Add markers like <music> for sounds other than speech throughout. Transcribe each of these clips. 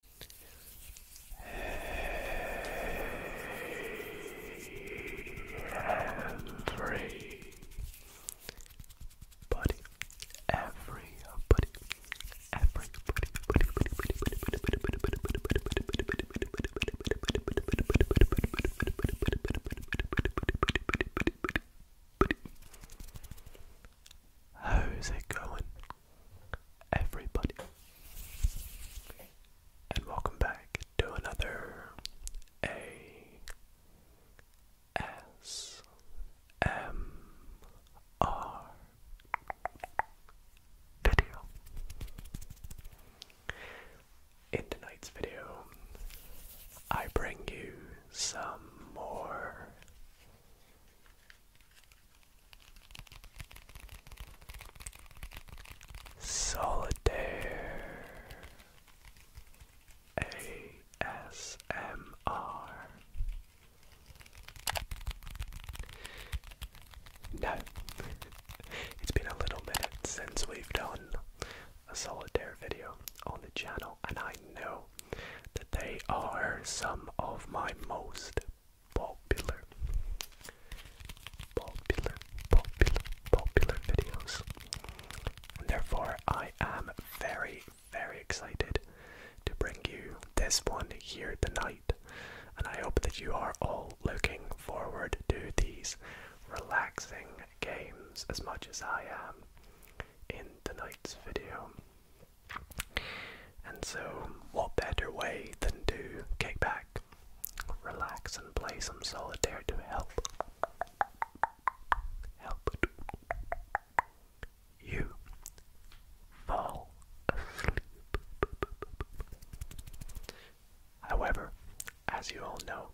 Everybody, everybody, everybody, How's it going? everybody, and welcome back to another A S M R video. In tonight's video, I bring you some more Solitaire ASMR. No, <laughs> it's been a little minute since we've done a solitaire video on the channel, and I know that they are some of my most popular, popular, popular, popular videos. therefore, I am very, very excited to bring you this one here tonight. And I hope that you are all looking forward to these relaxing games as much as I am in tonight's video. And so, what better way than to kick back, relax, and play some solitaire to help help you fall asleep. However, as you all know,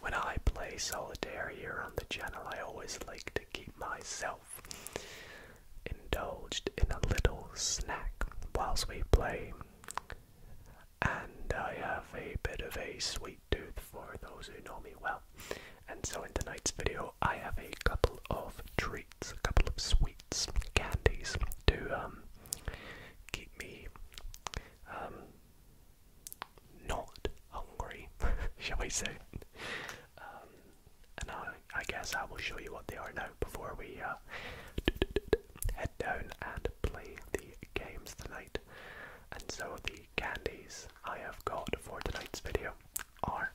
when I play solitaire here on the channel, I always like to keep myself indulged in a little snack whilst we play. And I have a bit of a sweet tooth for those who know me well. And so, in tonight's video, I have a couple of treats, a couple of sweets, candies to um, keep me um, not hungry, <laughs> shall we say? Um, and I, I guess I will show you what they are now before we uh, head down and play the games tonight. And so the candies I have got for tonight's video are.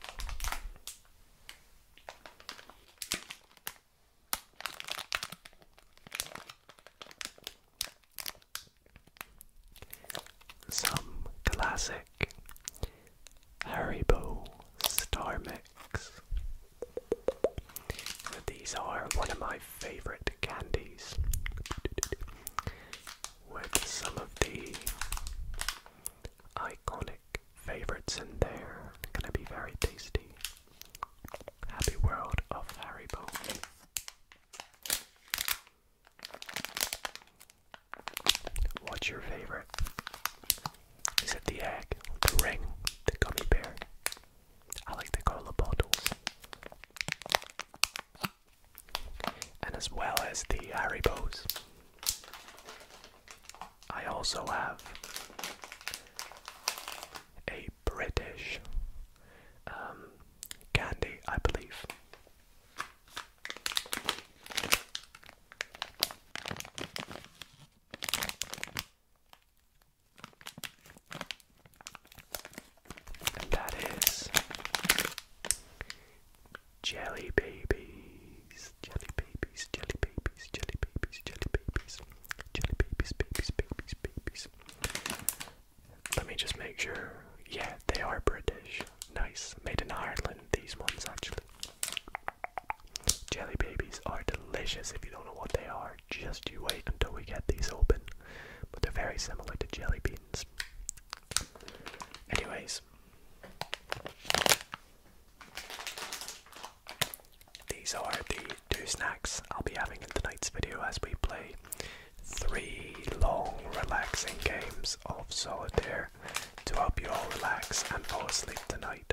Some classic Haribo Star Mix. These are one of my favorite candies. With some of the iconic favorites in there. Gonna be very tasty. Happy World of Harry Boo. What's your favorite? Is it the egg, the ring, the gummy bear? I like to call the And as well as the Haribos. I also have a British um, candy, I believe. And that is Jelly Babies, Jelly Babies, Jelly Babies, Jelly Babies, Jelly Babies, Jelly Babies, Babies, Babies, Babies. Let me just make sure. Yeah, they are British. Nice. Made in Ireland, these ones actually. Jelly babies are delicious. If you don't know what they are, just you wait until we get these open. But they're very similar to jelly beans. Anyways, these are the two snacks I'll be having in tonight's video as we play three long, relaxing games of solitaire to help you all relax and fall asleep tonight.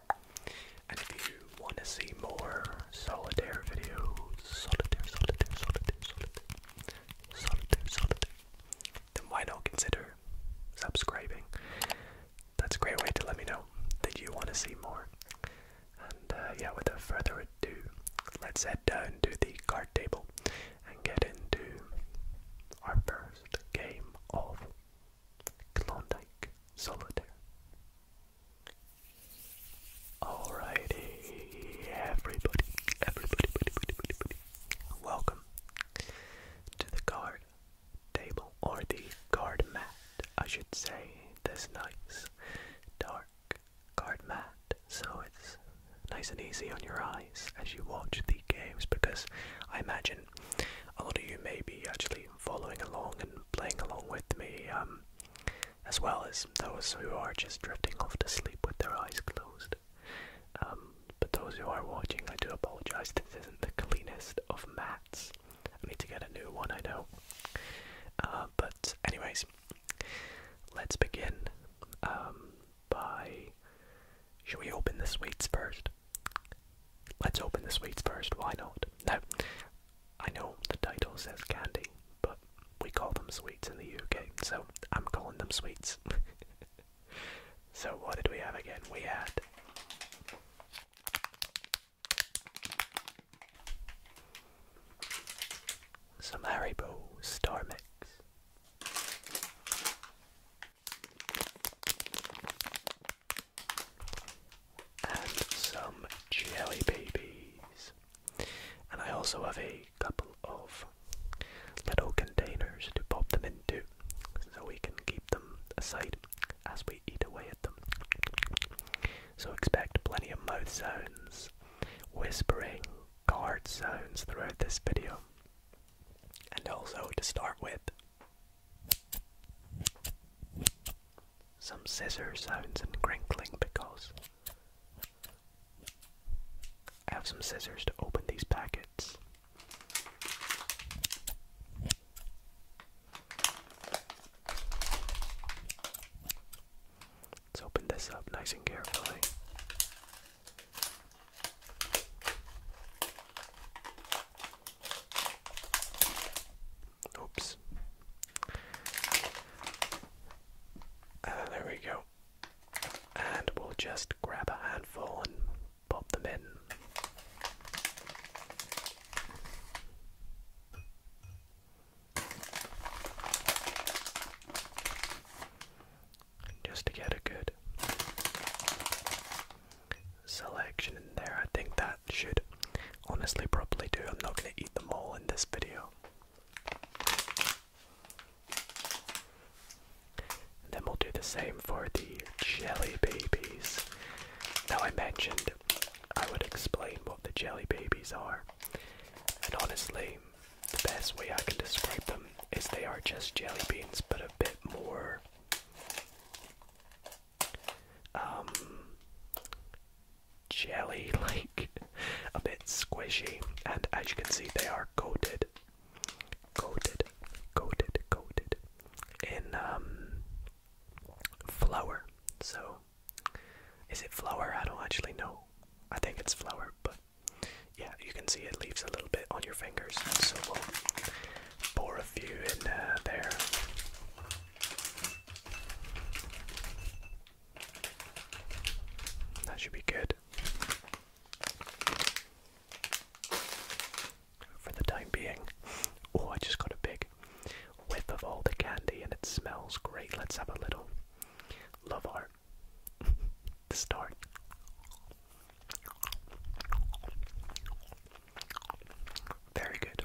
and if you want to see more solitaire videos, solitaire, solitaire, solitaire, solitaire, solitaire, solitaire, then why not consider subscribing? That's a great way to let me know that you want to see more. And uh, yeah, without further ado, let's head down to the card table and get into our first game of Klondike Solitaire. Alrighty, everybody, everybody, welcome to the card table, or the card mat, I should say. This nice, dark card mat, so it's nice and easy on your eyes as you watch the games because I imagine in. A lot of you may be actually following along and playing along with me, um, as well as those who are just drifting off to sleep with their eyes closed. Um, but those who are watching, I do apologize. This isn't the cleanest of mats. I need to get a new one, I know. Uh, but, anyways, let's begin um, by should we open the sweets first? Let's open the sweets first, why not? No, I know the title says candy, but we call them sweets in the UK, so I'm calling them sweets. <laughs> so, what did we have again? We had. Some Haribo Star Mix and some jelly babies. And I also have a couple of little containers to pop them into so we can keep them aside as we eat away at them. So expect plenty of mouth zones, whispering, guard zones throughout this video. And also to start with, some scissor sounds and crinkling because I have some scissors to open these packets. Let's open this up nice and carefully. Oops. Uh, there we go. And we'll just grab a handful and pop them in. Just to get a good selection in there. I think that should honestly probably do. I'm not going to eat them all in this video. then we'll do the same for the jelly babies. Now I mentioned I would explain what the jelly babies are. And honestly, the best way I can describe them is they are just jelly beans but a bit more um, jelly <laughs> like, a bit squishy, and as you can see, they are coated, coated, coated, coated in um, flour. So, is it flour? I don't actually know. I think it's flour, but yeah, you can see it leaves a little bit on your fingers. So we'll pour a few in uh, there. That should be good. For the time being. Oh, I just got a big whiff of all the candy and it smells great. Let's have a little love art <laughs> to start. Very good.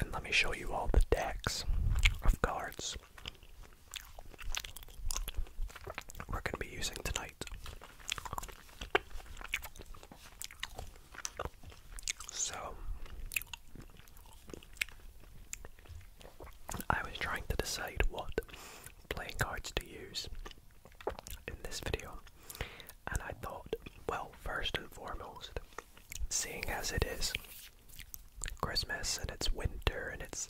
And let me show you all the decks of cards we're going to be using tonight. So, I was trying to decide what playing cards to use in this video. And I thought, well, first and foremost, seeing as it is Christmas and it's winter and it's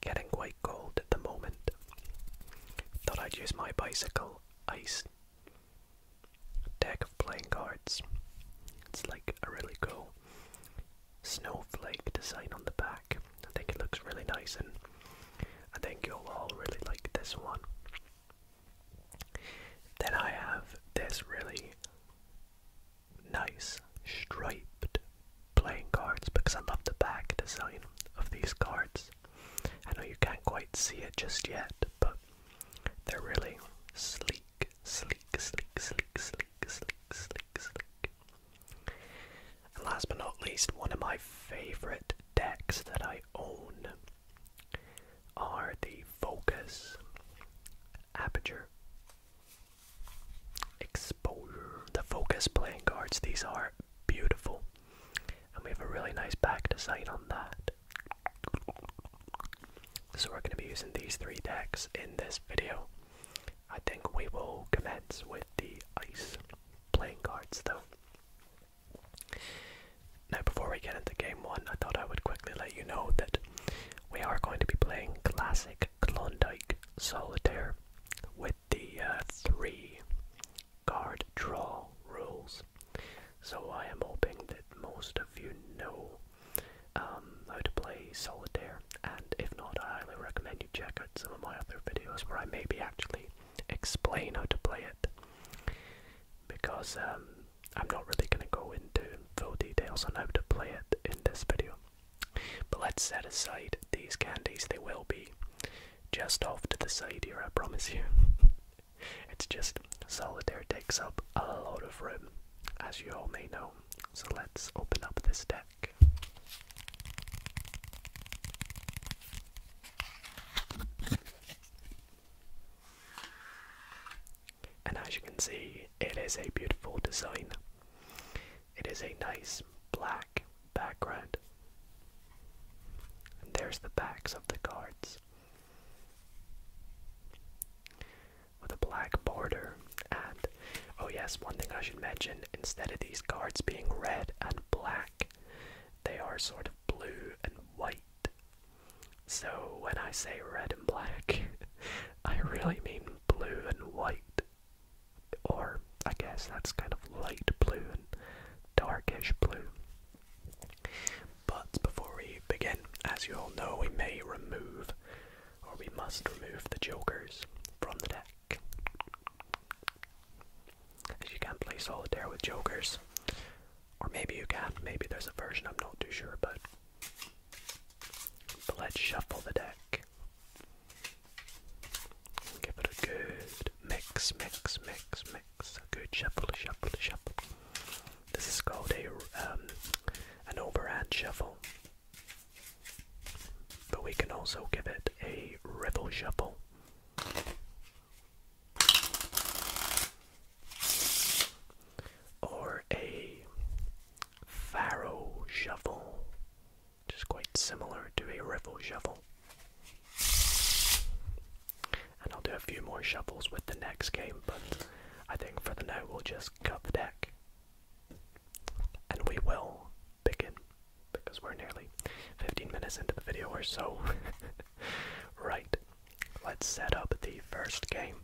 getting quite cold at the moment, thought I'd use my bicycle ice deck of playing cards. It's like a really cool snowflake design on the back. I think it looks really nice and I think you'll all really like this one. Then I have this really nice striped playing cards because I love the back design of these cards. I know you can't quite see it just yet, but they're really sleek, sleek, sleek, sleek, sleek, sleek, sleek, sleek. And last but not least, one of my favorite decks that I own are the Focus, Aperture, Exposure, the Focus playing cards. These are beautiful, and we have a really nice back design on that. So, we're going to be using these three decks in this video. I think we will commence with the ice playing cards though. Now, before we get into game one, I thought I would quickly let you know that we are going to be playing classic Klondike Solitaire with the uh, three card draw rules. So, I am hoping that most of you know um, how to play Solitaire, and if not, I highly recommend you check out some of my other videos where I may be actually explain how to play it because um, I'm not really going to go into full details on how to play it in this video. But let's set aside these candies, they will be just off to the side here, I promise you. <laughs> it's just solitaire takes up a lot of room, as you all may know. So let's open up this deck. And as you can see, it is a beautiful design. It is a nice black background. And there's the backs of the cards with a black border. And oh, yes, one thing I should mention instead of these cards being red and black, they are sort of blue and white. So when I say red and black, <laughs> I really mean blue and white. Or I guess that's kind of light blue and darkish blue. But before we begin, as you all know, we may remove or we must remove the jokers from the deck you can't play solitaire with jokers. Or maybe you can, maybe there's a version, I'm not too sure, but, let's shuffle the deck. Give it a good mix, mix, mix, mix. A good shuffle, shuffle, shuffle. This is called a um, an overhand shuffle, but we can also give it a rival shuffle. Or a farrow shovel, which is quite similar to a riffle shovel. And I'll do a few more shuffles with the next game, but I think for the now we'll just cut the deck. And we will begin because we're nearly 15 minutes into the video or so. <laughs> right, let's set up the first game.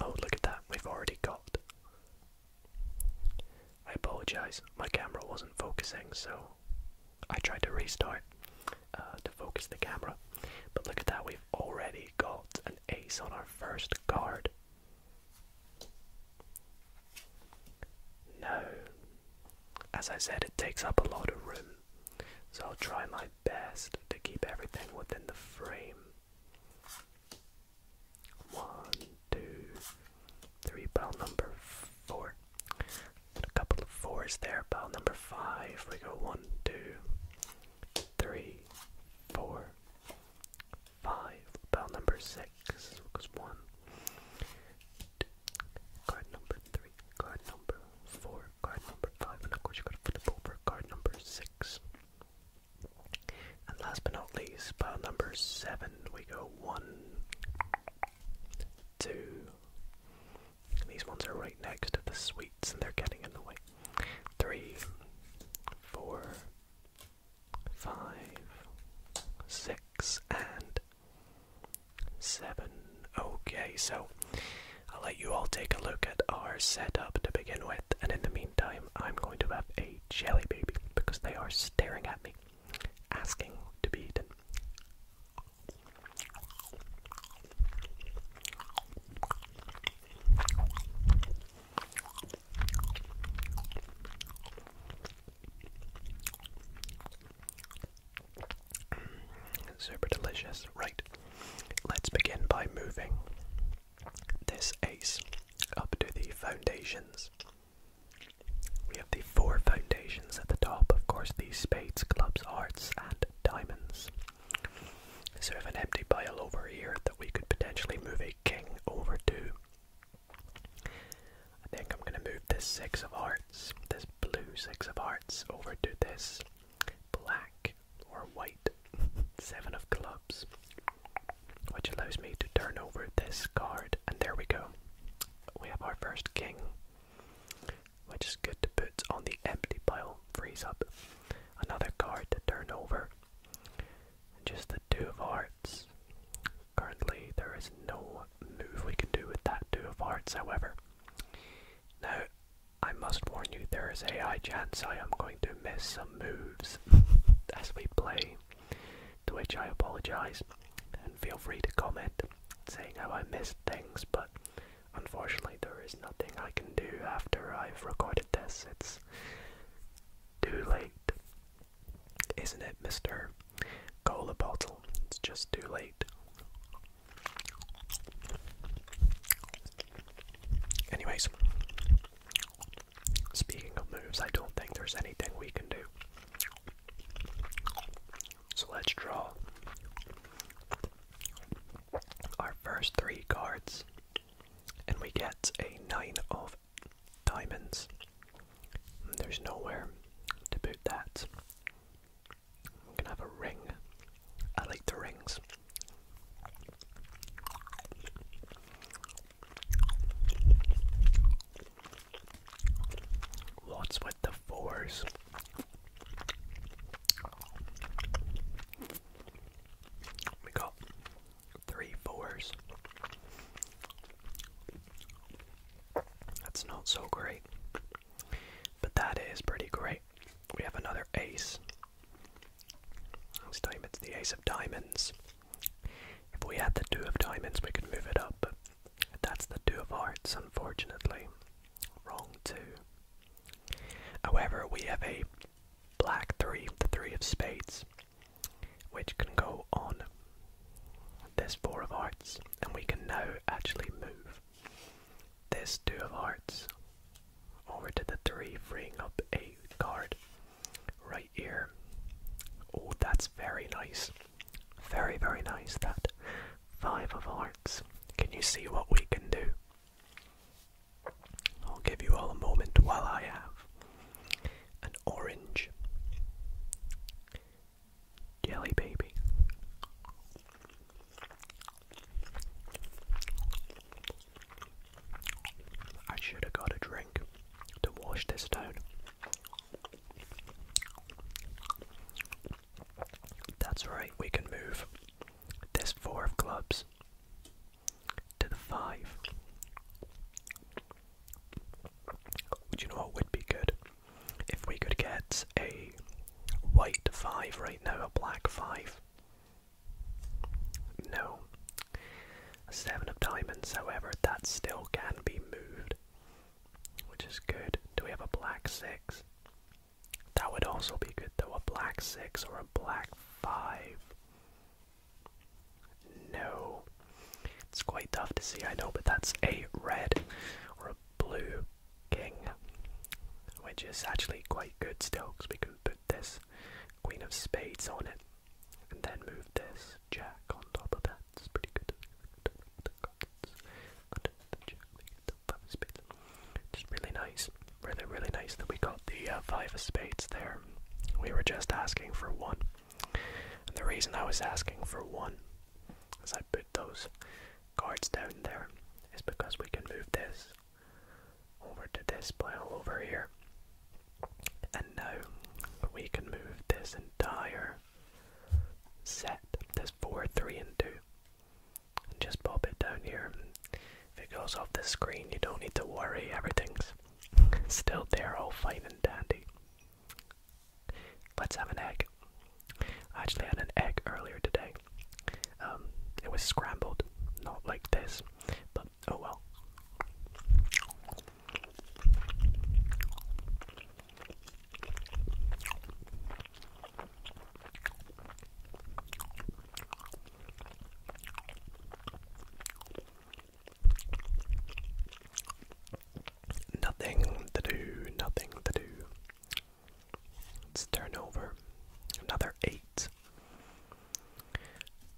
Oh, look at that, we've already got. I apologize, my camera wasn't focusing, so I tried to restart uh, to focus the camera. But look at that, we've already got an ace on our first card. No. As I said, it takes up a lot of room, so I'll try my best to keep everything within the frame. One, two, three, bell number four. a couple of fours there, bell number five. We go one, two, three, four, five, bell number six. Because one, two, Card number three, card number four, card number five, and of course you have gotta flip over card number six. And last but not least, pile number seven, we go one, two. These ones are right next to the sweets and they're getting in the way. Three, four, five, six, and seven. Okay, so I'll let you all take a look at our setup to begin with, and in the meantime, I'm going to have a jelly baby because they are staring at me, asking to be eaten. Super delicious. Right, let's begin by moving this ace up to the foundations. We have the four foundations at the top, of course, the spades, clubs, hearts, and diamonds. So we have an empty pile over here that we could potentially move a king over to. I think I'm gonna move this six of hearts, this blue six of hearts, over to this black or white <laughs> seven of clubs, which allows me to turn over this card. And there we go. We have our first king, which is good to put on the empty pile, frees up another card to turn over. And just the two of hearts. Currently, there is no move we can do with that two of hearts, however. Now, I must warn you, there is a high chance I am going to miss some moves <laughs> as we play, to which I apologise, and feel free to comment saying how I missed things, but unfortunately there is nothing I can do after I've recorded this. It's too late. Isn't it, Mr. Cola Bottle? It's just too late. Anyways, speaking of moves, I don't think there's anything we can do. So let's draw our first three cards, and we get a nine of diamonds, there's nowhere to put that. I'm gonna have a ring. I like the rings. What's with the fours? We got three fours. That's not so great. But that is pretty great. We have another ace. This time it's the ace of diamonds. If we had the two of diamonds, we could move it up, but that's the two of hearts, unfortunately. Wrong two. However, we have a black three, the three of spades, which can go on there's four of hearts, and we can now actually move. There's two of hearts. Over to the three, freeing up a card. Right here. Oh, that's very nice. Very, very nice, that. Five of hearts. Can you see what we can do? I'll give you all a moment while I have an orange. Jelly Baby. I should have got a drink to wash this down. That's right, we can move this four of clubs to the five. Do you know what would be good? If we could get a white 5 right now, a black 5. No. A 7 of diamonds, however, that still can be moved, which is good. Do we have a black 6? That would also be good though, a black 6 or a black 5. No. It's quite tough to see, I know, but that's a red or a blue king, which is actually quite good still because we can put this queen of spades on it and then move this jack on top of that. It's pretty good. It's really nice, really, really nice that we got the uh, five of spades there. We were just asking for one. And the reason I was asking for one as I put those cards down there is because we can move this over to this pile over here. And now we can move this entire set, this 4, 3, and 2. And just pop it down here. If it goes off the screen, you don't need to worry, everything's <laughs> still there, all fine and dandy. Let's have an egg. I actually had an egg earlier today. Um, it was scrambled, not like this, but oh well. Nothing to do, nothing to do. Let's turn over Another eight.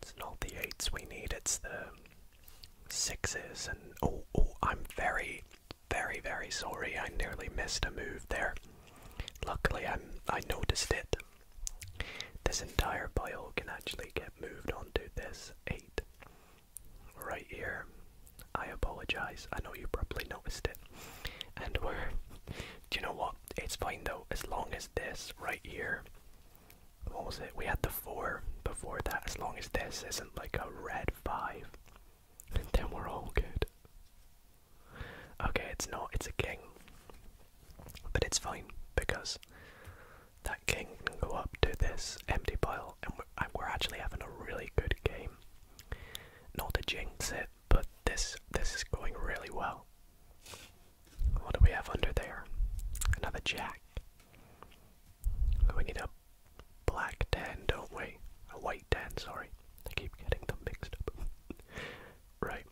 It's not the eights we need, it's the sixes and oh oh I'm very very very sorry I nearly missed a move there. Luckily I'm I noticed it. This entire pile can actually get moved onto this eight right here. I apologize. I know you probably noticed it. And we're. Do you know what? It's fine though, as long as this right here. What was it? We had the 4 before that. As long as this isn't like a red 5, <laughs> then we're all good. Okay, it's not. It's a king. But it's fine because that king can go up to this empty pile and we're actually having a really good game. Not to jinx it, but this this is going really well. What do we have under there? Another jack. We need a black ten, don't we? A white ten, sorry. I keep getting them mixed up. <laughs> right.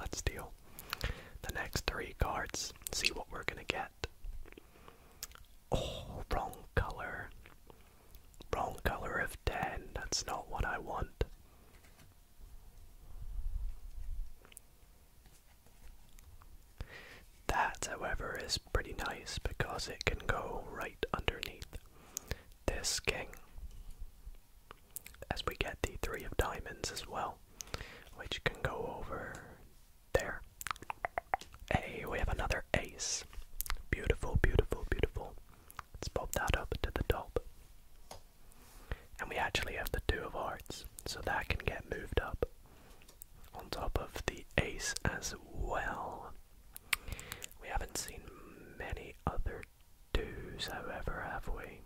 Let's deal the next three cards, see what we're gonna get. Oh, wrong color. Wrong color of 10. That's not what I want. That, however, is pretty nice because it can go right underneath this king. As we get the three of diamonds as well, which can go over there. Hey, we have another ace. Beautiful, beautiful, beautiful. Let's pop that up to the top. And we actually have the two of hearts, so that can get moved up on top of the ace as well. We haven't seen many other twos, however, have we?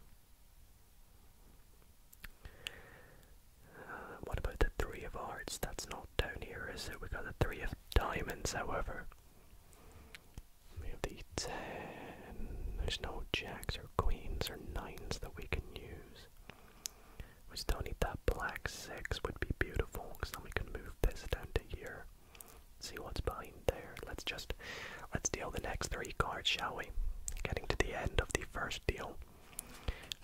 what about the three of hearts? That's not down here, is it? We got the three of diamonds, however. We have the ten. There's no jacks or queens or nines that we can use. We still need that black six, would be beautiful, because then we can move this down to here. See what's behind there. Let's just let's deal the next three cards, shall we? Getting to the end of the first deal.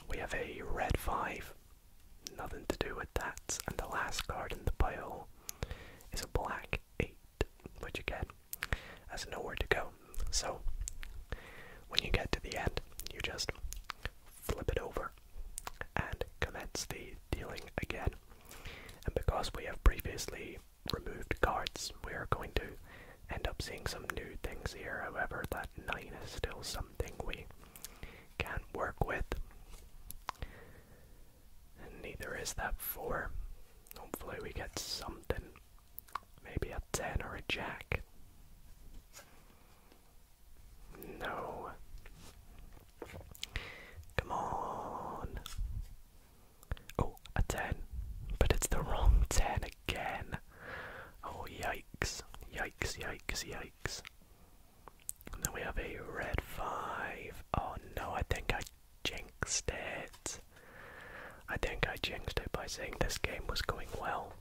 We have a red 5, nothing to do with that, and the last card in the pile is a black 8, which again has nowhere to go. So, when you get to the end, you just flip it over and commence the dealing again. And because we have previously removed cards, we are going to end up seeing some new things here. However, that 9 is still something we can work with. And neither is that 4. Hopefully we get something. Maybe a 10 or a jack. No. Come on. Oh, a 10. But it's the wrong 10 again. Oh, yikes. Yikes, yikes, yikes. And then we have a red 5. Oh no, I think I jinxed it. I think I jinxed it by saying this game was going well.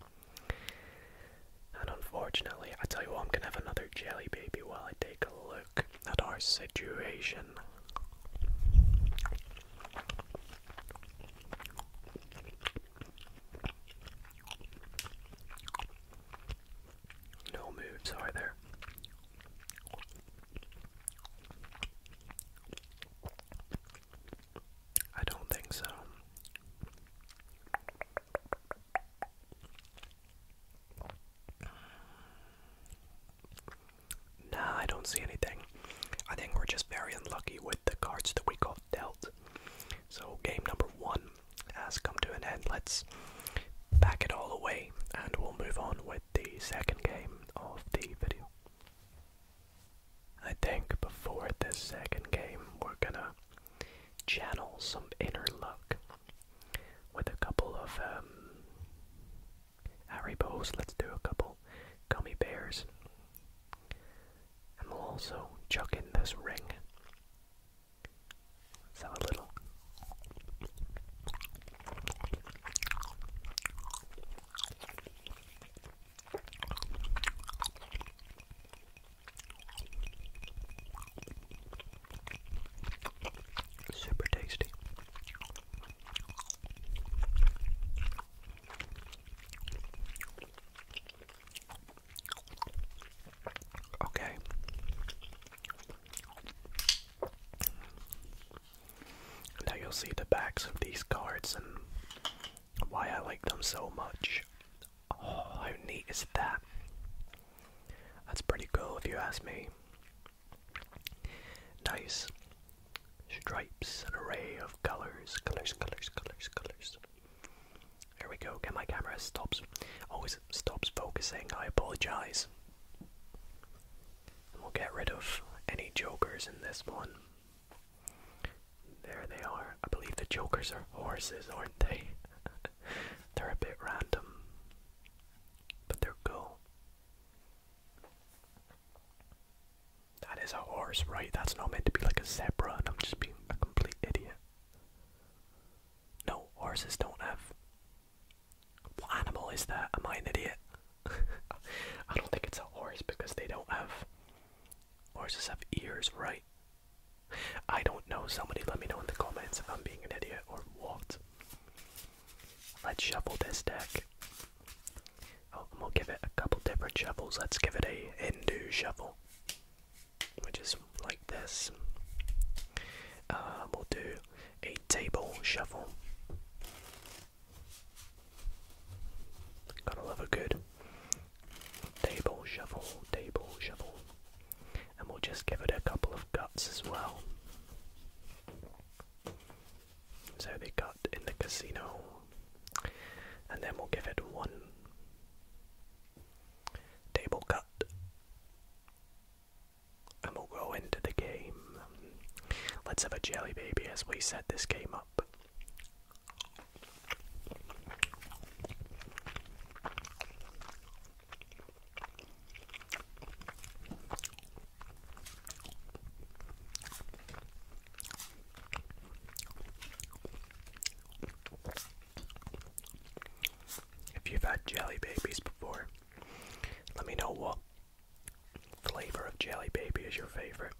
And unfortunately, I tell you what, I'm gonna have another jelly baby while I take a look at our situation. No moves either. I don't think so. Nah, I don't see anything. I think we're just very unlucky with the cards that we got dealt. So, game number one has come to an end. Let's back it all away and we'll move on with the second game of the video. I think before this second game, we're gonna channel some inner luck with a couple of um, Harry Bows. Let's do a couple gummy bears and we'll also chuck in this ring. let a little. Super tasty. Okay. Now you'll see the backs of these cards and why I like them so much. Oh, how neat is that? That's pretty cool if you ask me. Nice stripes, an array of colors, colors, colors, colors, colors. Here we go. Can my camera stops? Always stops focusing. I apologize. And we'll get rid of any jokers in this one. There they are. I believe the jokers are horses, aren't they? <laughs> they're a bit random, but they're cool. That is a horse, right? That's not meant to be like a zebra, and I'm just being a complete idiot. No, horses don't have. What animal is that? Am I an idiot? <laughs> I don't think it's a horse because they don't have. Horses have ears, right? I don't know. Somebody let me know in the comments if I'm being an idiot or what. Let's shuffle this deck we'll give it a couple different shovels. Let's give it a Hindu shuffle, which is like this. Uh, we'll do a table shuffle. Gotta love a good table shuffle, table shuffle. And we'll just give it a couple of guts as well. So they got in the casino, and then we'll give it one table cut. And we'll go into the game. Let's have a jelly baby as we set this game up. If you've had jelly babies before, let me know what flavor of jelly baby is your favorite.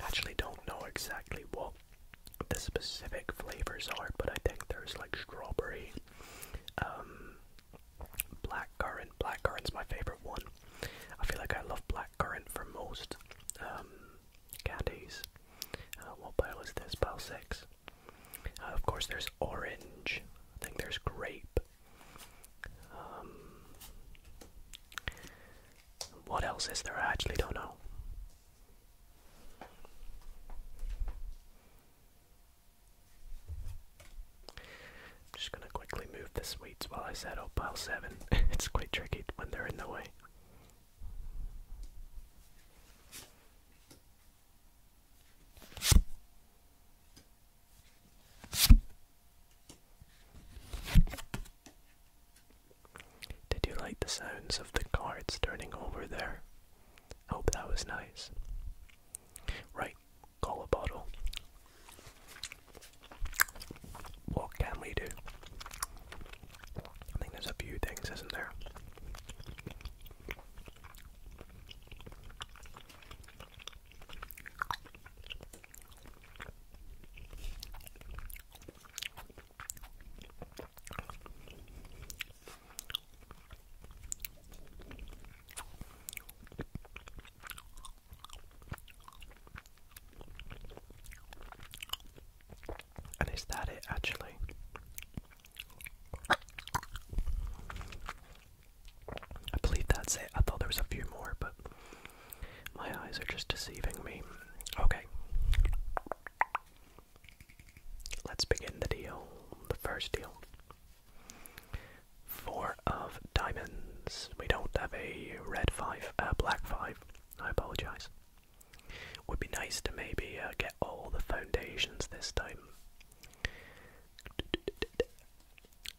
actually don't know exactly what the specific flavors are, but I think there's like strawberry, um, blackcurrant. Blackcurrant's my favorite one. I feel like I love blackcurrant blackcurrant for most um, candies. Uh, what pile is this? Pile 6. Uh, of course, there's orange. I think there's grape. Um, what else is there? I actually don't know. I'm just gonna quickly move the sweets while I set up pile 7. <laughs> it's quite tricky when they're in the way. Did you like the sounds of the cards turning over there? hope that was nice. Right, call a bottle. What can we do? I think there's a few things, isn't there? And is that it actually? I believe that's it. I thought there was a few more, but my eyes are just deceiving me. Okay. Let's begin the deal. The first deal. Four of diamonds. We don't have a red five, a uh, black five. I apologize. Would be nice to maybe uh, get all the foundations this time.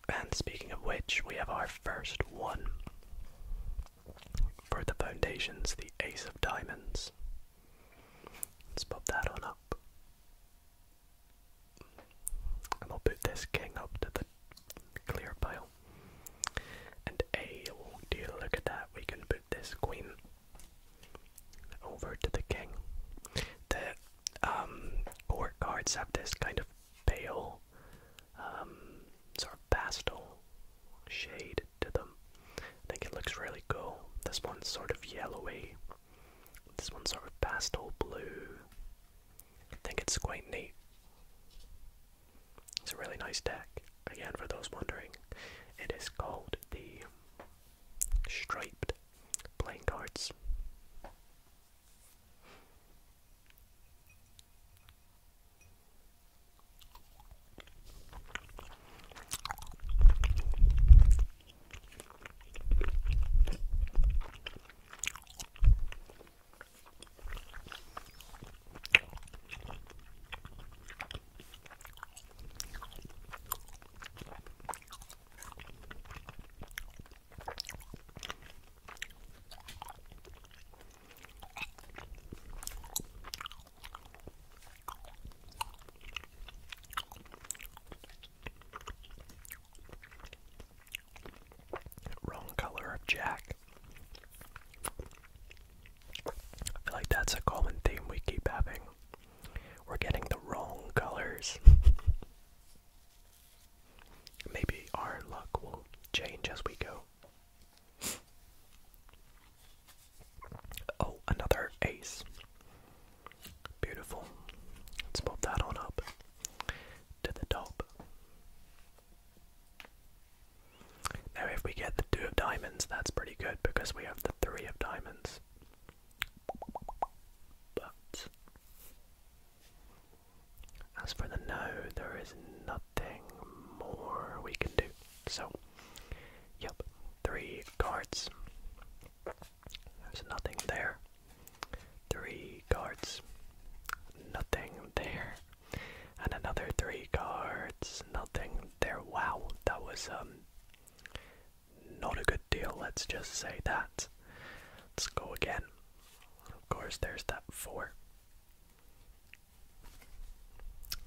And speaking of which, we have our first one for the foundations, the Ace of Diamonds. Let's pop that on up. And I'll put this king up to the clear pile. And a oh dear, look at that. We can put this queen over to the king. The um, court cards have this kind of pale, um, sort of pastel shade to them. I think it looks really cool. This one's sort of yellowy. This one's sort of pastel blue. I think it's quite neat. It's a really nice deck. Again, for those wondering, it is called the Striped Playing Cards. Wrong color of Jack. I feel like that's a common theme we keep having. We're getting the wrong colors. <laughs> Maybe our luck will change as we go. Oh, another ace. Beautiful. Let's pop that on up to the top. Now if we get the two of diamonds, that's pretty good because we have the three of diamonds. But as for the no, there is nothing more we can do. So, yep, three cards. There's nothing there. Three cards. Nothing there and another three cards. Nothing there. Wow, that was um not a good deal. Let's just say that. Let's go again. Of course, there's that four.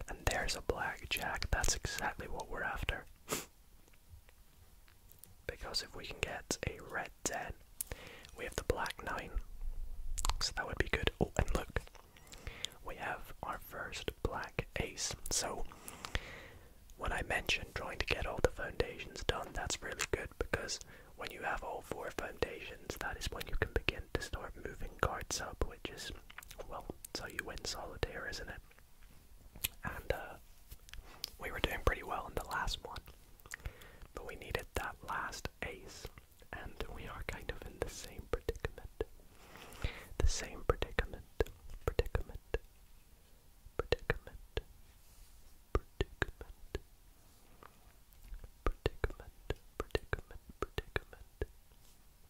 And there's a blackjack. That's exactly what we're after. <laughs> because if we can get a red 10, we have the black 9. So that would be good. Oh, and look, we have our first black ace. So, when I mentioned trying to get all the foundations done, that's really good because when you have all four foundations, that is when you can begin to start moving cards up, which is, well, so you win solitaire, isn't it? And uh, we were doing pretty well in the last one, but we needed that last ace and we are kind of in the same predicament. The same predicament, predicament, predicament, predicament, predicament, predicament, predicament,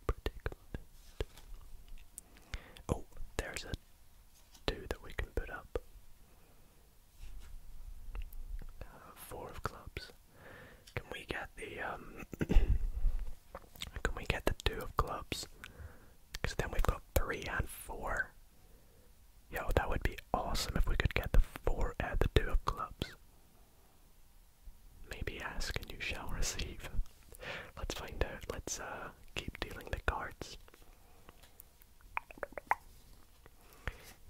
predicament. Oh, there's a two that we can put up. Uh, four of clubs. Can we get the um, <coughs> can we get the two of clubs? Cause then we've got three and four. Yo, that would be awesome if we could get the four and uh, the two of clubs. Maybe ask and you shall receive. Let's find out. Let's uh, keep dealing the cards.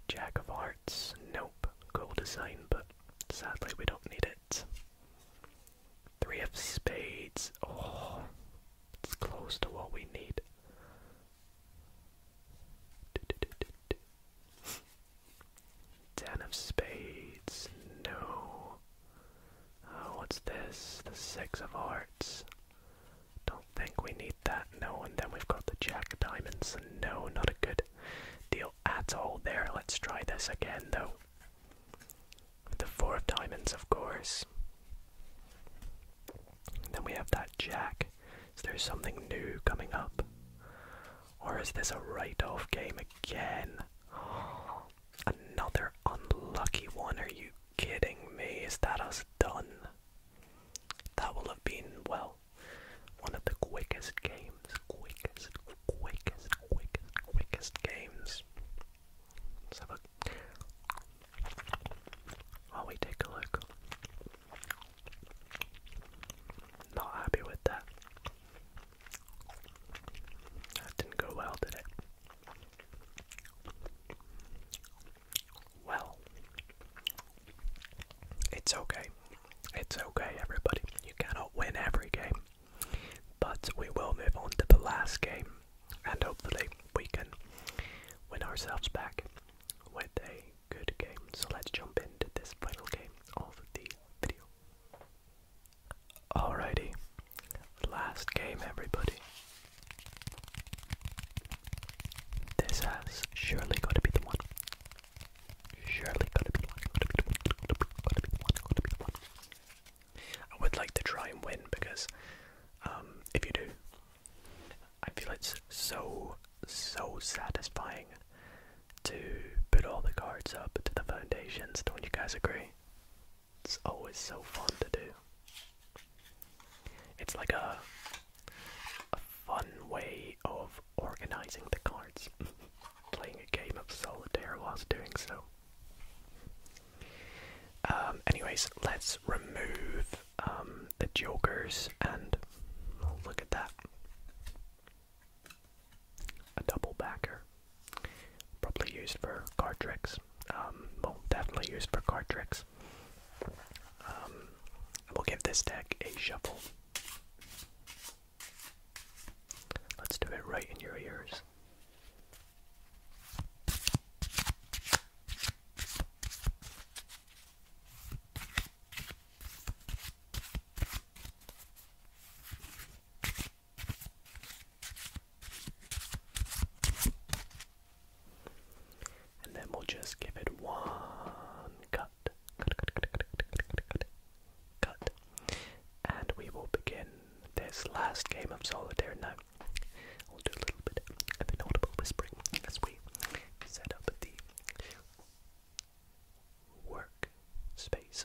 Jack of Hearts, nope. Cool design, but sadly we don't need it. Three of spades. Oh, it's close to what we need. Ten of spades. No. Uh, what's this? The six of hearts. Don't think we need that. No, and then we've got the jack of diamonds. No, not a good deal no at all there. Let's try this again though. the four of diamonds, of course. Then we have that jack. Is there something new coming up? Or is this a write off game again? <gasps> another unlucky one. Are you kidding me? Is that us done? That will have been, well, one of the quickest games, quickest, quickest, quickest, quickest games. Let's have a while we take a look. Not happy with that. That didn't go well, did it? Well, it's okay. It's okay, everybody. You cannot win every game. But we will move on to the last game, and hopefully we can win ourselves back with a good game. So let's jump into this final game of the video. Alrighty, last game, everybody. This has surely got to be the one. Surely I would like to try and win because um, if you do, I feel it's so, so satisfying to put all the cards up to the foundations. Don't you guys agree? It's always so fun to do. It's like a, a fun way of organizing the cards. <laughs> Playing a game of solitaire whilst doing so. Um, anyways, let's remove um, the jokers and oh, look at that. A double backer. Probably used for card tricks. Um, well, definitely used for card tricks. we'll give this deck a shuffle. Let's do it right in your ears. And then we'll just give it one cut cut, And we will begin this last game of solitaire now. We'll do a little bit of inaudible whispering as we set up the work you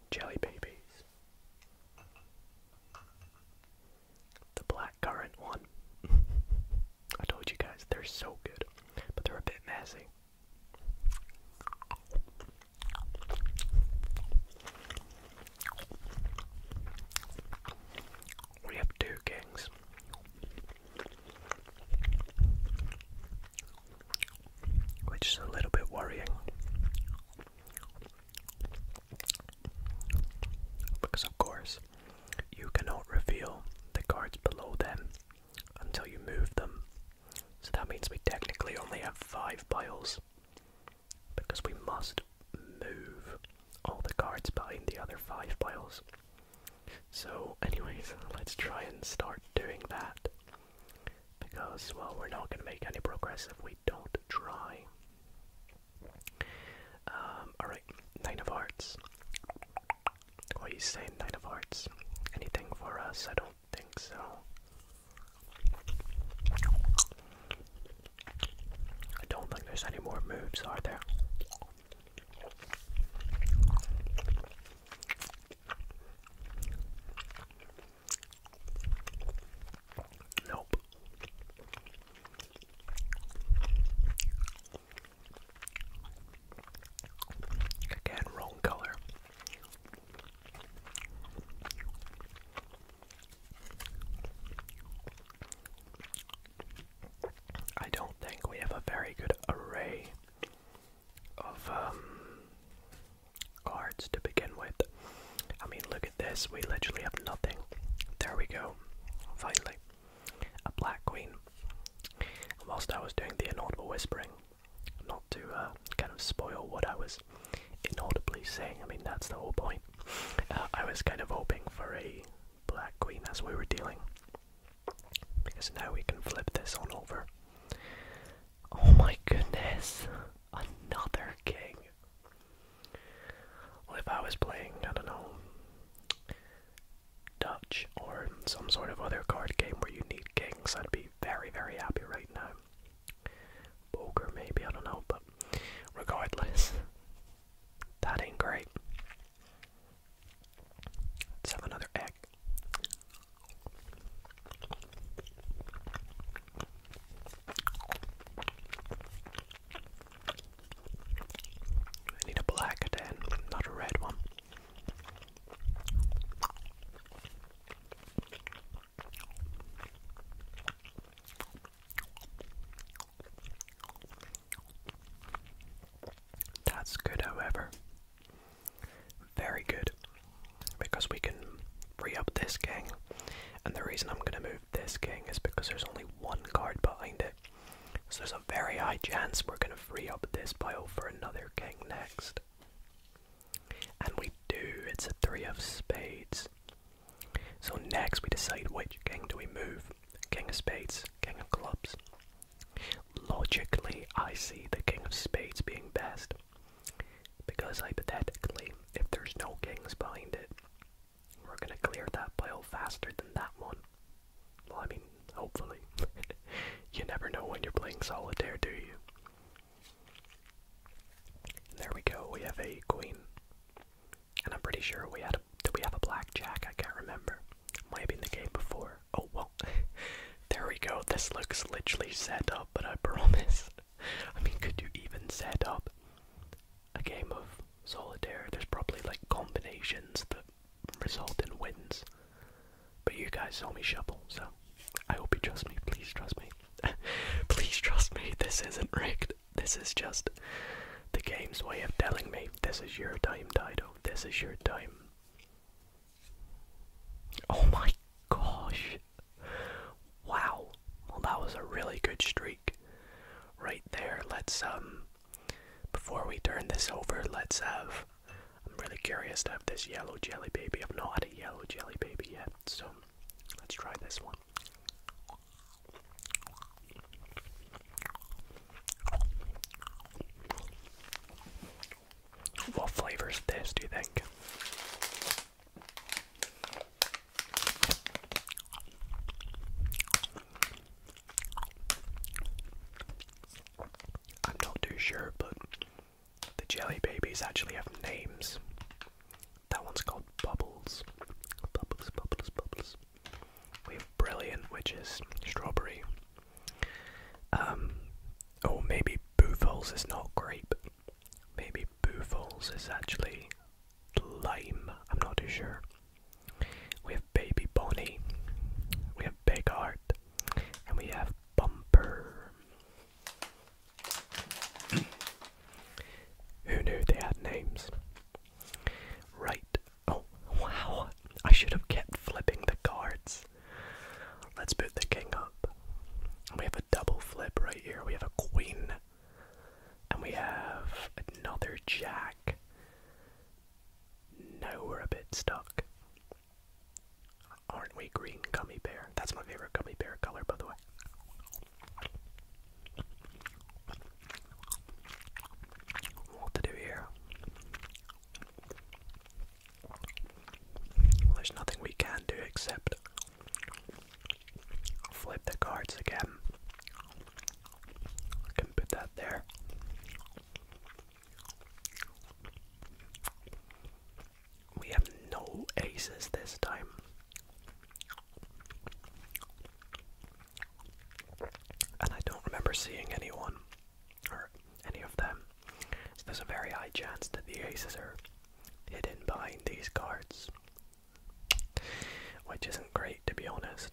jelly babies. The blackcurrant one. <laughs> I told you guys, they're so good, but they're a bit messy. We have two kings which is a little bit worrying because, of course, you cannot reveal the cards below them until you move them. So that means we technically only have five piles because we must move all the cards behind the other five piles. So, anyways, <laughs> let's try and start doing that. Because, well, we're not going to make any progress if we don't try. Um, alright, Nine of Hearts. What are you saying, Nine of Hearts? Anything for us? I don't think so. I don't think there's any more moves, are there? Nope. Again, wrong color. I don't think we have a very good array of um, cards to begin with. I mean, look at this. We literally have nothing. There we go. Finally, a black queen. whilst I was doing the inaudible whispering, not to uh, kind of spoil what I was inaudibly saying. I mean, that's the whole point. Uh, I was kind of hoping for a black queen as we were dealing, because now we can flip this on over. Oh my goodness. Another king. Well, if I was playing, I don't know, Dutch or some sort of other card game where you need kings, I'd be very, very happy right now. Poker, maybe, I don't know, but regardless, that ain't great. Let's have another egg. I need a black then, not a red one. That's good, however. Very good. Because we can free up this king. And the reason I'm going to move this king is because there's only one card behind it. So there's a very high chance we're going to free up this pile for another king next. And we do, it's a three of spades. So next we decide which king do we move. King of spades, king of clubs. Logically, I see the king of spades being best. Because hypothetically, if there's no kings behind it, we're gonna clear that pile faster than that one. Well, I mean, hopefully. <laughs> you never know when you're playing solitaire, do you? there we go, we have a queen. And I'm pretty sure we had a did we have a blackjack? I can't remember. Maybe in the game before. Oh well. <laughs> there we go. This looks literally set up, but I <laughs> promise. I mean, could you even set up a game of solitaire? There's probably like combinations that result in wins. But you guys saw me shuffle, so I hope you trust me. Please trust me. <laughs> Please trust me. This isn't rigged. This is just the game's way of telling me this is your time, Dido. This is your time. Oh my gosh. Wow. Well, that was a really good streak right there. Let's, um, before we turn this over, let's have. I'm really curious to have this yellow jelly baby. I've not had a yellow jelly baby yet, so let's try this one. What flavor is this, do you think? I'm not too sure, but the jelly babies actually have names. That one's called Bubbles. We have Brilliant, which is strawberry. Um, or oh, maybe Boofles is not grape. Maybe Boofles is actually lime, I'm not too sure. We have Baby Bonnie, we have Big Heart, and we have Bumper. <coughs> Who knew they had names? Right. Oh, wow. I should have kept flipping the cards. Let's put the king up. We have a double flip right here. We have a queen. And we have another jack. Now we're a bit stuck. Aren't we green gummy bear? That's my favorite gummy bear color, by the way. What to do here? There's nothing we can do except flip the cards again. I can put that there. We have no aces this time. And I don't remember seeing anyone or any of them. So there's a very high chance that the aces are hidden behind these cards. Which isn't great to be honest.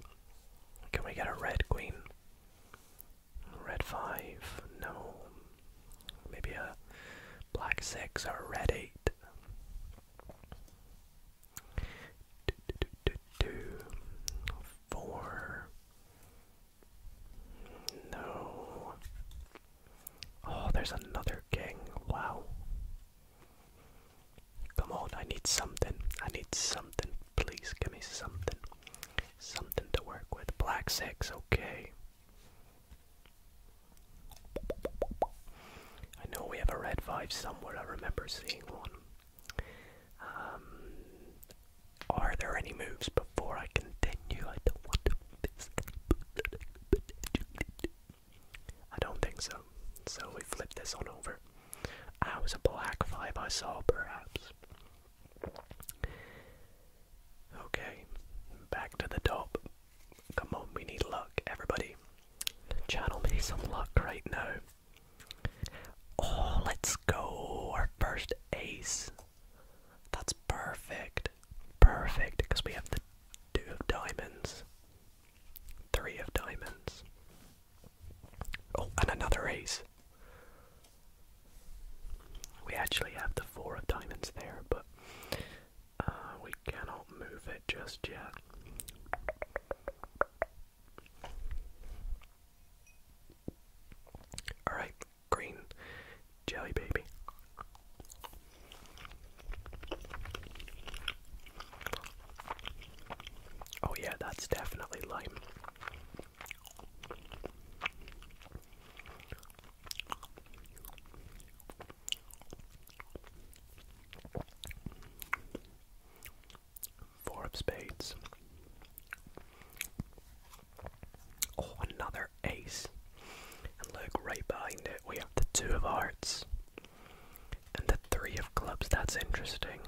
Can we get a red queen? Red 5? No. Maybe a black 6 or a red 8. Do, 4. No. Oh, there's another gang. Wow. Come on, I need something. I need something. Please give me something. Something to work with. Black six, okay. I know we have a red five somewhere. I remember seeing one. Um, are there any moves before I continue? I don't want to I don't think so. So we flip this on over. I was a black five I saw perhaps. Okay, back to the top. Come on, we need luck, everybody. Channel me some luck right now. Oh, let's go. Our first ace. That's perfect perfect. because we have the two of diamonds. Three of diamonds. Oh, and another ace. We actually have the four of diamonds there, but uh, we cannot move it just yet. Alright, green Jelly Baby. Oh, yeah, that's definitely lime. Four of spades. Oh, another ace. And look, right behind it, we have the two of hearts and the three of clubs. That's interesting.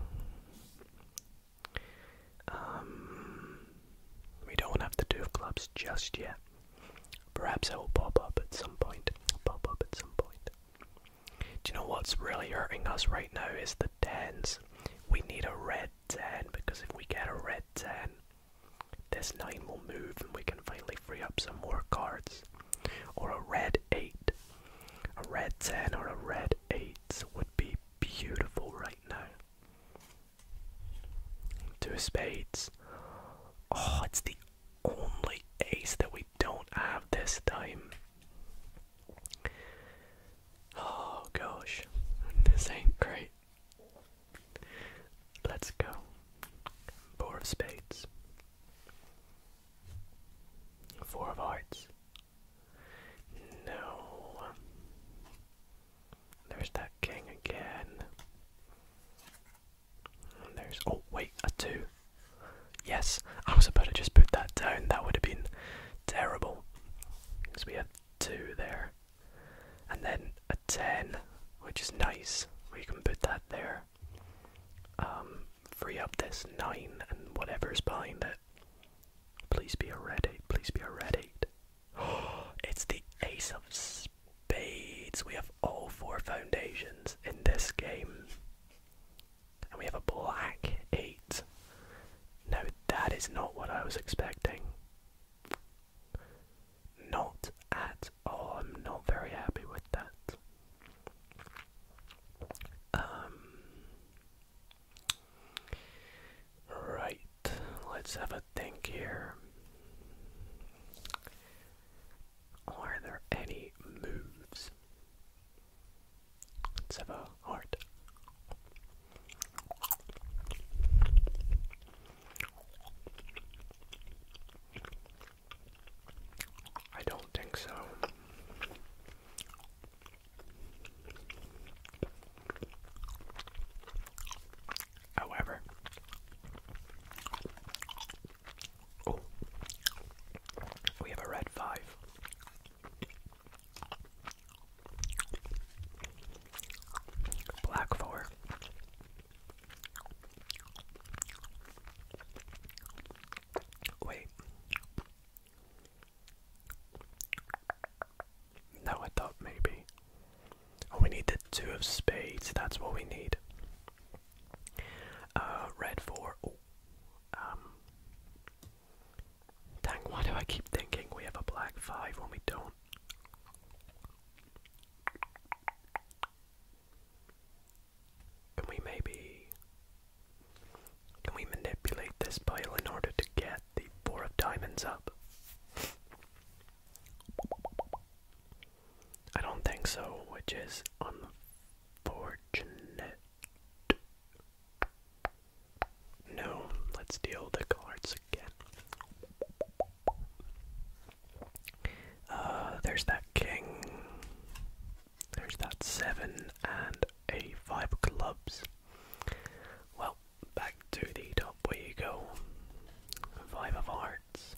Um, we don't have the two of clubs just yet. Perhaps it will pop up at some point. Pop up at some point. Do you know what's really hurting us right now is the tens. We need a red ten because if we get a red ten, this 9 will move and we can finally free up some more cards. Or a red 8. A red 10 or a red 8 would be beautiful right now. Two spades. Oh, it's the only ace that we don't have this time. Oh gosh, this ain't great. Let's go. Four of spades. Four of hearts. No. There's that king again. there's. Oh, wait, a two. Yes, I was about to just put that down. That would have been terrible. Because we have two there and then a 10, which is nice. We can put that there. Um, free up this 9 and whatever's behind it. Please be a red 8, please be a red 8. <gasps> it's the ace of spades. We have all four foundations in this game. And we have a black 8. Now that is not what I was expecting. Not at all. I'm not very happy with that. Um, right, let's have a think here. Are there any moves? Let's have a heart. I don't think so. However, oh, we have a red five. Black four, Wait. No, I thought maybe. Oh, we need the two of spades. That's what we need. Uh, red four. Um. Dang, why do I keep thinking we have a black five when we don't? Can we maybe. Can we manipulate this pile in order to get the Four of Diamonds up? I don't think so, which is unfortunate. No, let's deal the cards again. Uh, there's that king. There's that seven and a five of clubs. Well, back to the top where you go. Five of hearts.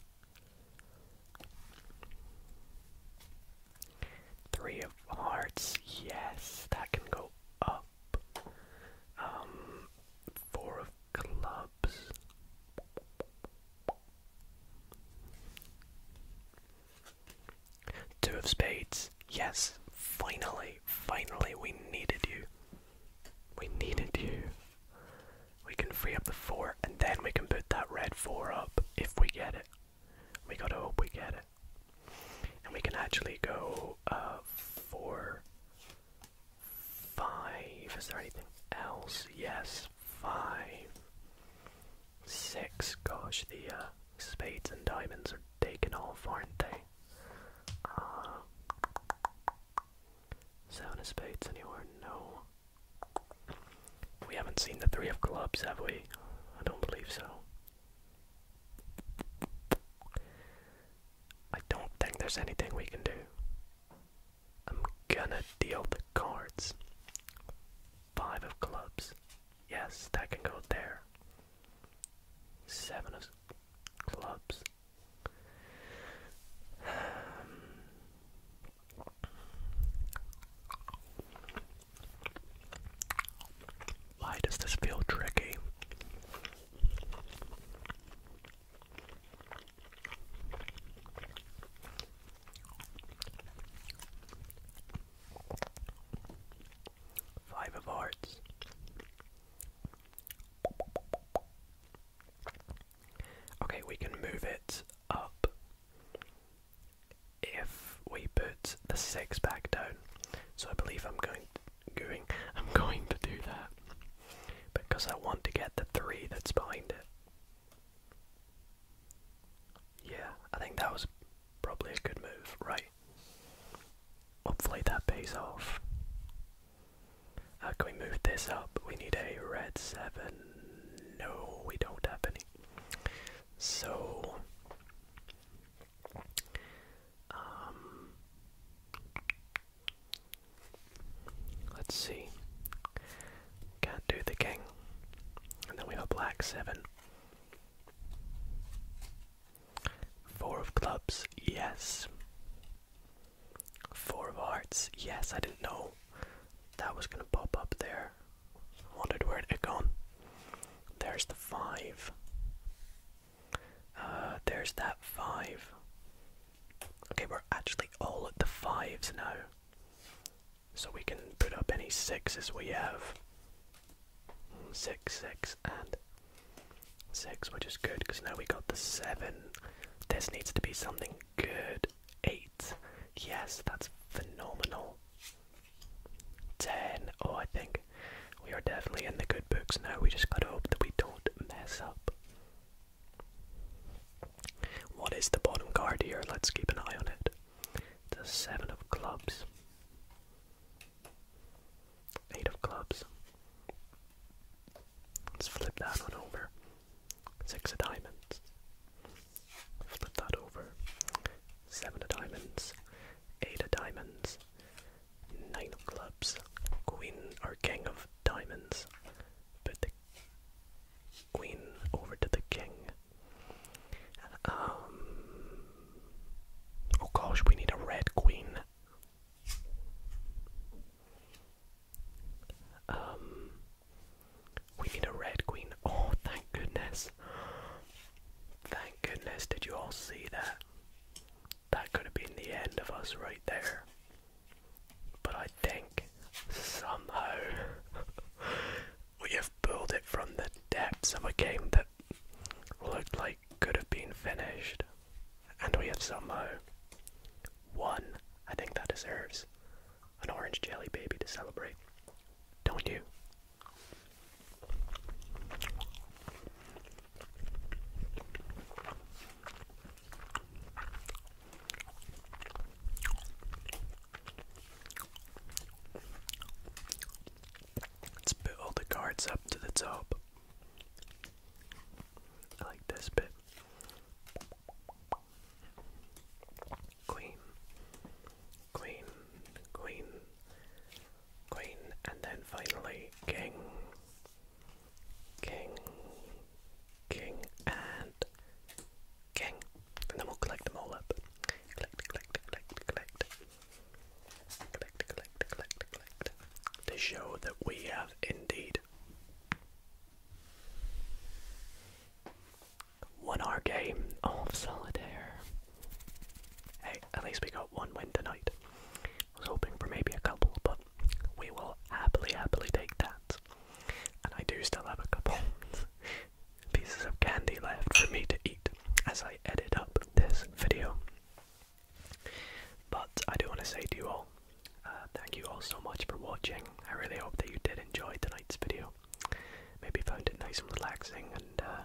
Three of hearts. Yes, that can go up. Um, four of clubs. Two of Spades. Yes, finally, finally, we needed you. We needed you. We can free up the four and then we can put that red four up if we get it. We gotta hope we get it. And we can actually go uh, four, Five. Is there anything else? Yes, five. Six. Gosh, the uh, spades and diamonds are taken all, aren't they? Uh, seven of spades anywhere? No. We haven't seen the three of clubs, have we? I don't believe so. I don't think there's anything we can do. I'm gonna deal the cards. Five of clubs. Yes, that can go there. Seven of clubs. Why does this feel tricky? Five of Hearts. Okay, we can move it up if we put the six back down. So I believe I'm going going I'm <laughs> going to do that because I want to get the three that's behind it. Yeah, I think that was probably a good move, right? Hopefully that pays off. How uh, can we move this up? We need a red 7. No, we don't have any. So, um, Let's see. Can't do the king. And then we have a black seven. Four of clubs, yes. Four of hearts, yes. I didn't know that was gonna pop up there. Wondered where it had gone. There's the five. Uh, there's that five. Okay, we're actually all at the fives now. So we can put up any sixes we have. Six, six, and six, which is good because now we got the seven. This needs to be something good. Eight. Yes, that's phenomenal. Ten. Oh, I think we are definitely in the good books now. We just gotta hope that we don't mess up. What is the bottom card here? Let's keep an eye on it. The seven of clubs. Eight of clubs. Let's flip that one over. Six of diamonds. Flip that over. Seven of diamonds. Eight of diamonds. Nine of clubs. Queen or king of diamonds. Put the queen over to the king. Um, oh gosh, we need a red queen. Um, we need a red queen. Oh, thank goodness. Thank goodness, did you all see that? That could have been the end of us right there. But I think somehow <laughs> we have pulled it from the depths of a game that looked like could have been finished. And we have somehow won. I think that deserves an orange jelly baby to celebrate. Don't you? Let's put all the cards up to the top. I like this bit. Queen, queen, queen, queen, and then finally king, king, king, and gang, and then we'll collect them all up. Collect, collect, collect, collect. Collect, collect, collect, collect. To show that we have indeed won our game of solitaire. Hey, at least we got one win tonight. I was hoping for maybe a couple, but we will happily, happily take that. And I do still have a couple <laughs> pieces of candy left for me to eat as I edit up this video. But I do want to say to you all, uh, thank you all so much for watching. I really hope that you did enjoy tonight's video. Maybe found it nice and relaxing and uh,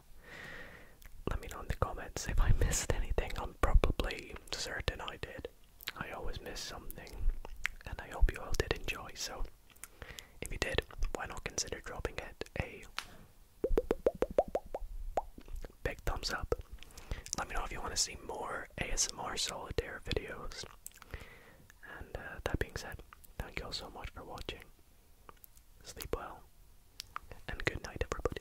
let me know in the comments if I missed anything. I'm probably certain I did. I always miss something, and I hope you all did enjoy. So, if you did, why not consider dropping it a big thumbs up? Let me know if you want to see more ASMR solitaire videos. And uh, that being said, thank you all so much for watching. Sleep well, and good night, everybody.